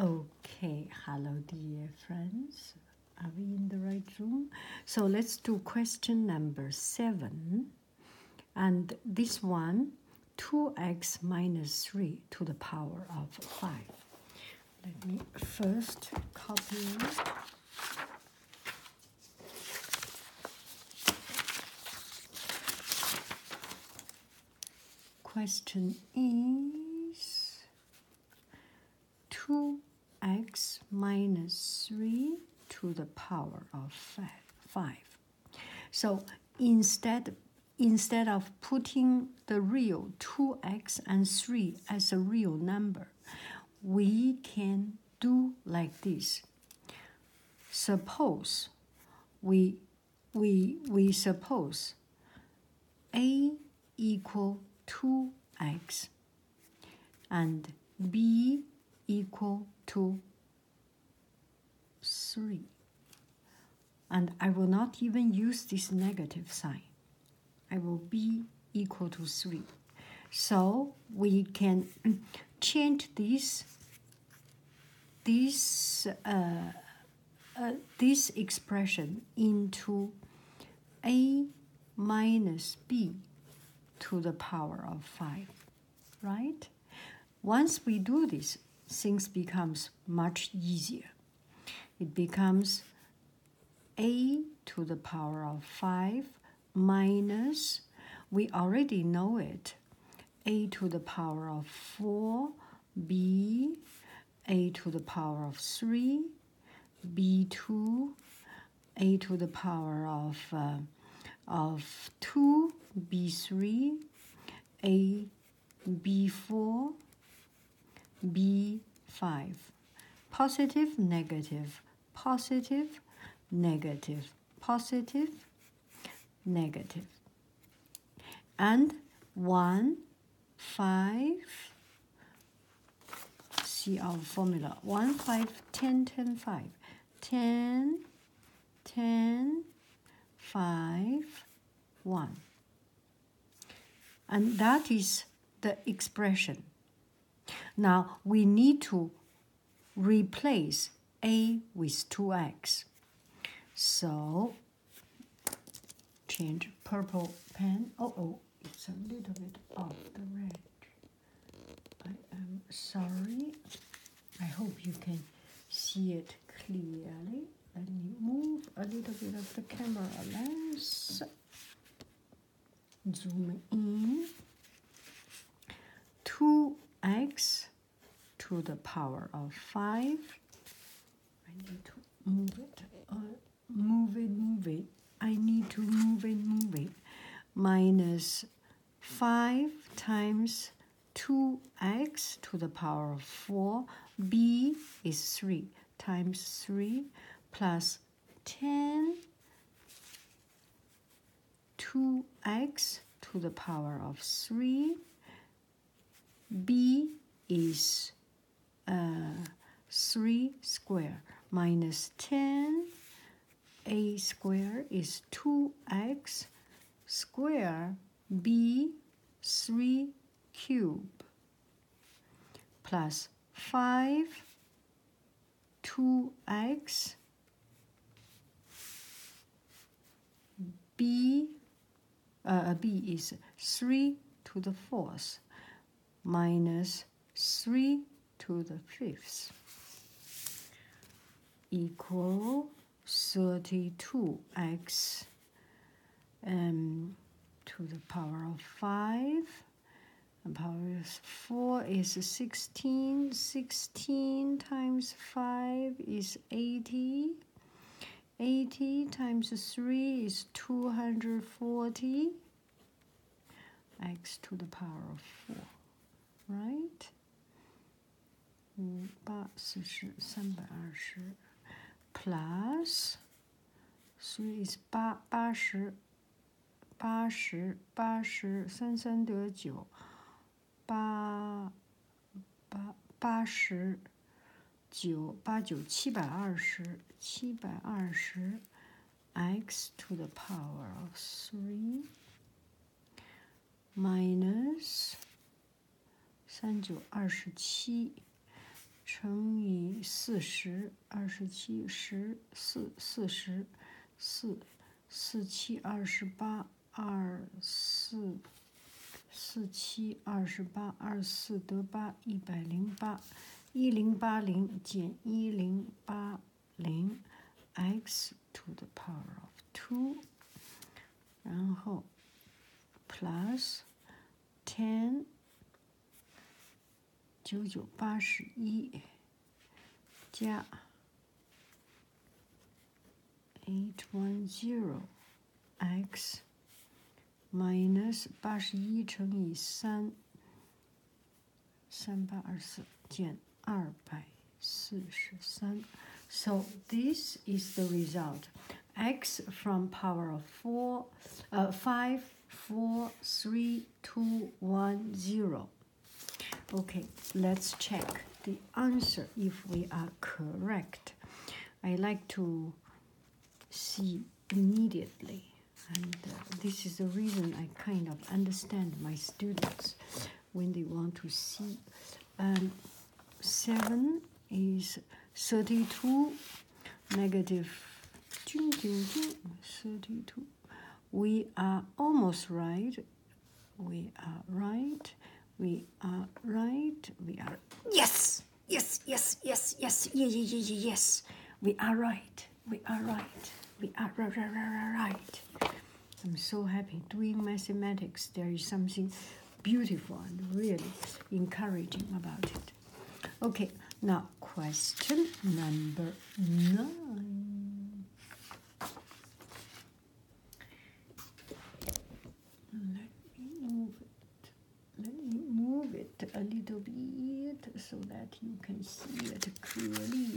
Okay, hello dear friends. Are we in the right room? So let's do question number seven. And this one, 2x minus 3 to the power of 5. Let me first copy. Question is 2x minus 3 to the power of 5. So instead, instead of putting the real 2x and 3 as a real number, we can do like this. Suppose we we, we suppose a equal to x and b equal to 3. And I will not even use this negative sign. I will be equal to 3. So we can change this, this uh, uh, this expression into a minus b to the power of 5, right? Once we do this, things becomes much easier. It becomes a to the power of 5 minus, we already know it, a to the power of 4, b, a to the power of 3, b2, a to the power of, uh, of 2, b3, a, b4, b5. Positive, negative, positive, negative, positive, negative and 1, 5, see our formula, 1, 5, 10, 10, 5, 10, 10, 5, 1. And that is the expression. Now we need to Replace a with 2x. So change purple pen. Oh, oh, it's a little bit off the red. I am sorry. I hope you can see it clearly. Let me move a little bit of the camera lens. Zoom in. 2x to the power of 5. I need to move it, uh, move it, move it. I need to move it, move it. Minus 5 times 2x to the power of 4. b is 3 times 3 plus 10 2x to the power of 3. b is uh, 3 square minus 10. a square is 2x square b 3 cube plus 5 2x uh, b is 3 to the fourth minus 3 to the fifth equal 32x um, to the power of 5 the power of 4 is 16. 16 times 5 is 80. 80 times 3 is 240 x to the power of 4, right? 五八四十三百二十，plus three is 八八十八十八十三三得九，八八八十九八九七百二十七百二十 x to the power of three minus 三九二十七乘以四十二十七十四四十。四四七二十八二四四七二十八二四得八一百零八一零八零减一零八零 x to the power of two，然后 plus ten。九九八十一加 eight one zero x minus So this is the result. x from power of four, uh, five four three two one zero okay let's check the answer if we are correct i like to see immediately and uh, this is the reason i kind of understand my students when they want to see um, 7 is 32 negative. We are almost right. We are right. We are right. We are yes, yes, yes, yes, yes, yeah, yeah, yeah, yes. We are right. We are right. We are right. I'm so happy doing mathematics. There is something beautiful and really encouraging about it. Okay, now question number nine. Let me move it. a little bit so that you can see it clearly.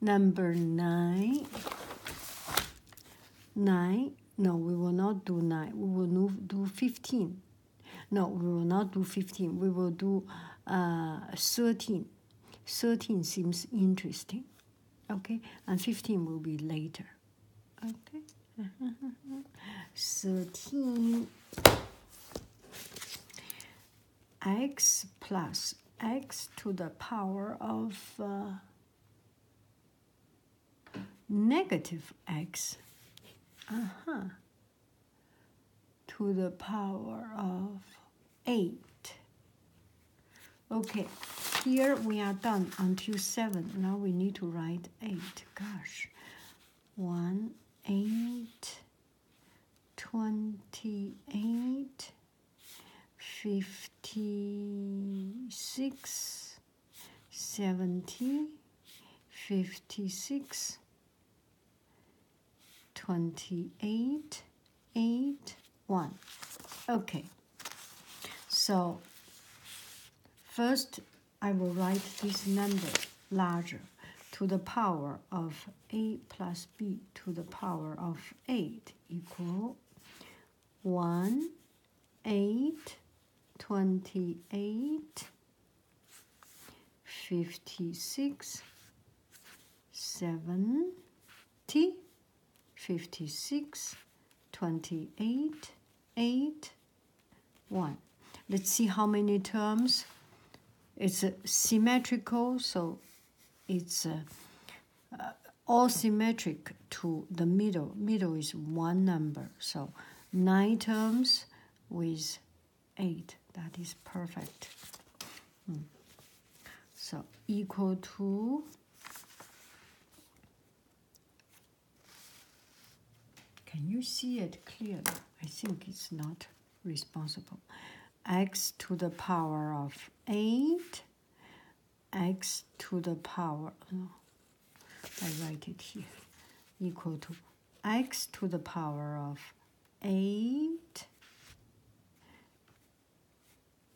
Number nine. Nine. No, we will not do nine. We will do fifteen. No, we will not do 15. We will do uh, 13. 13 seems interesting. Okay, and 15 will be later. Okay, 13 x plus x to the power of uh, negative x uh-huh, to the power of 8. Okay, here we are done until 7. Now we need to write 8. Gosh. 1, 8, 28, 56, 70, 56, 28, 8, 1. Okay, so first I will write this number larger to the power of a plus b to the power of 8 equal 1, 8, 28, 56, 70, 56, 8, 1. Let's see how many terms. It's symmetrical, so it's uh, all symmetric to the middle. Middle is one number, so nine terms with eight. That is perfect. Hmm. So equal to Can you see it clearly? I think it's not responsible. x to the power of 8 x to the power, oh I write it here, equal to x to the power of 8,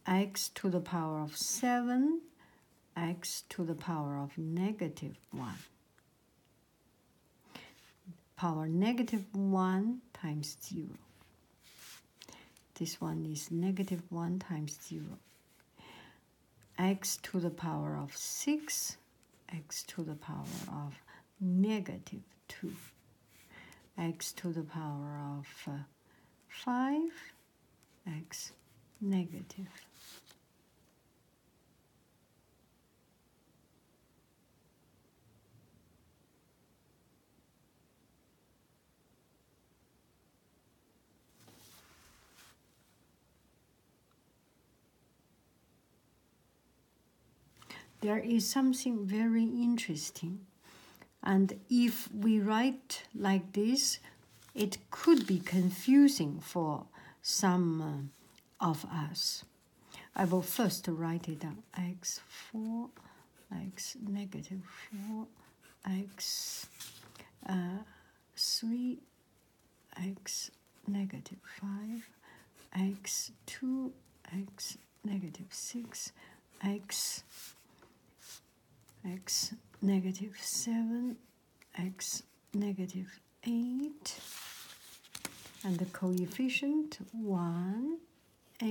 x to the power of 7, x to the power of negative 1. Power negative 1 times 0. This one is negative 1 times 0 x to the power of 6, x to the power of negative 2, x to the power of uh, 5, x negative. There is something very interesting. And if we write like this, it could be confusing for some uh, of us. I will first write it down x4 x negative 4 x uh, 3 x negative 5 x 2 x negative 6 x x negative 7 x negative 8 and the coefficient 1 8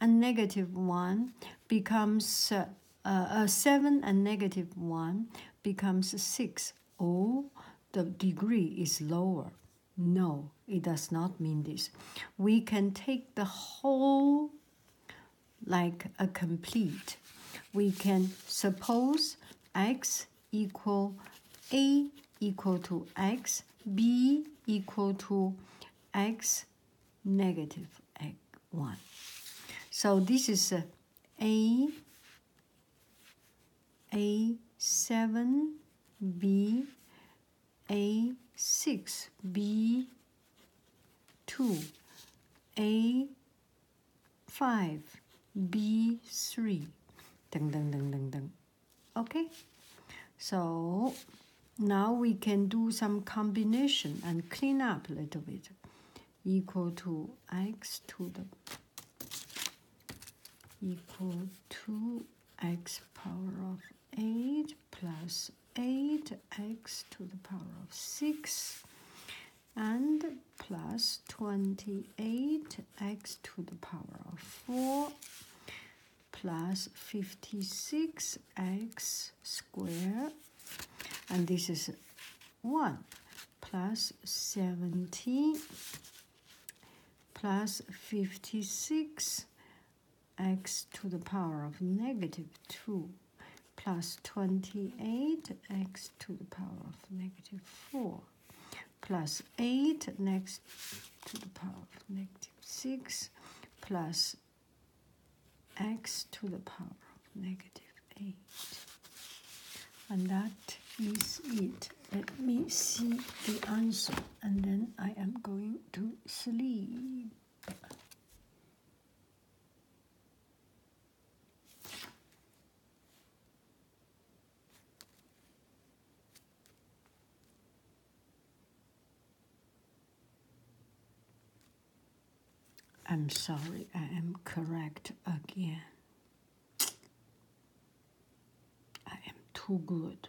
a negative 1 becomes uh, a 7 and negative 1 becomes 6 or oh, the degree is lower. No, it does not mean this. We can take the whole like a complete. We can suppose x equal a equal to x, b equal to x negative one. So this is uh, A, A7, B, A6, B2, A5, B3, 等等等等等。Okay, so now we can do some combination and clean up a little bit. Equal to x to the equal to x power of 8 plus 8x to the power of 6 and plus 28x to the power of 4 plus 56x squared, and this is 1 plus 17 plus 56 x to the power of negative 2 plus 28 x to the power of negative 4 plus 8 next to the power of negative 6 plus x to the power of negative 8. And that is it. Let me see the answer and then I am going to sleep. I'm sorry, I am correct again. I am too good.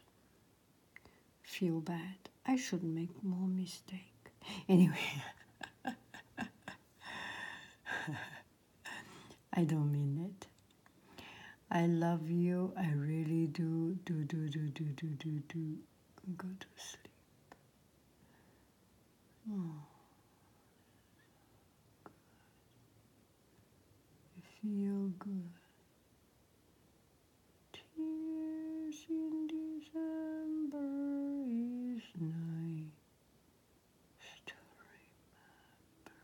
Feel bad. I should make more mistake. Anyway, I don't mean it. I love you. I really do. Do, do, do, do, do, do, do. Go to sleep. Oh, feel good. Tears in December is nice to remember.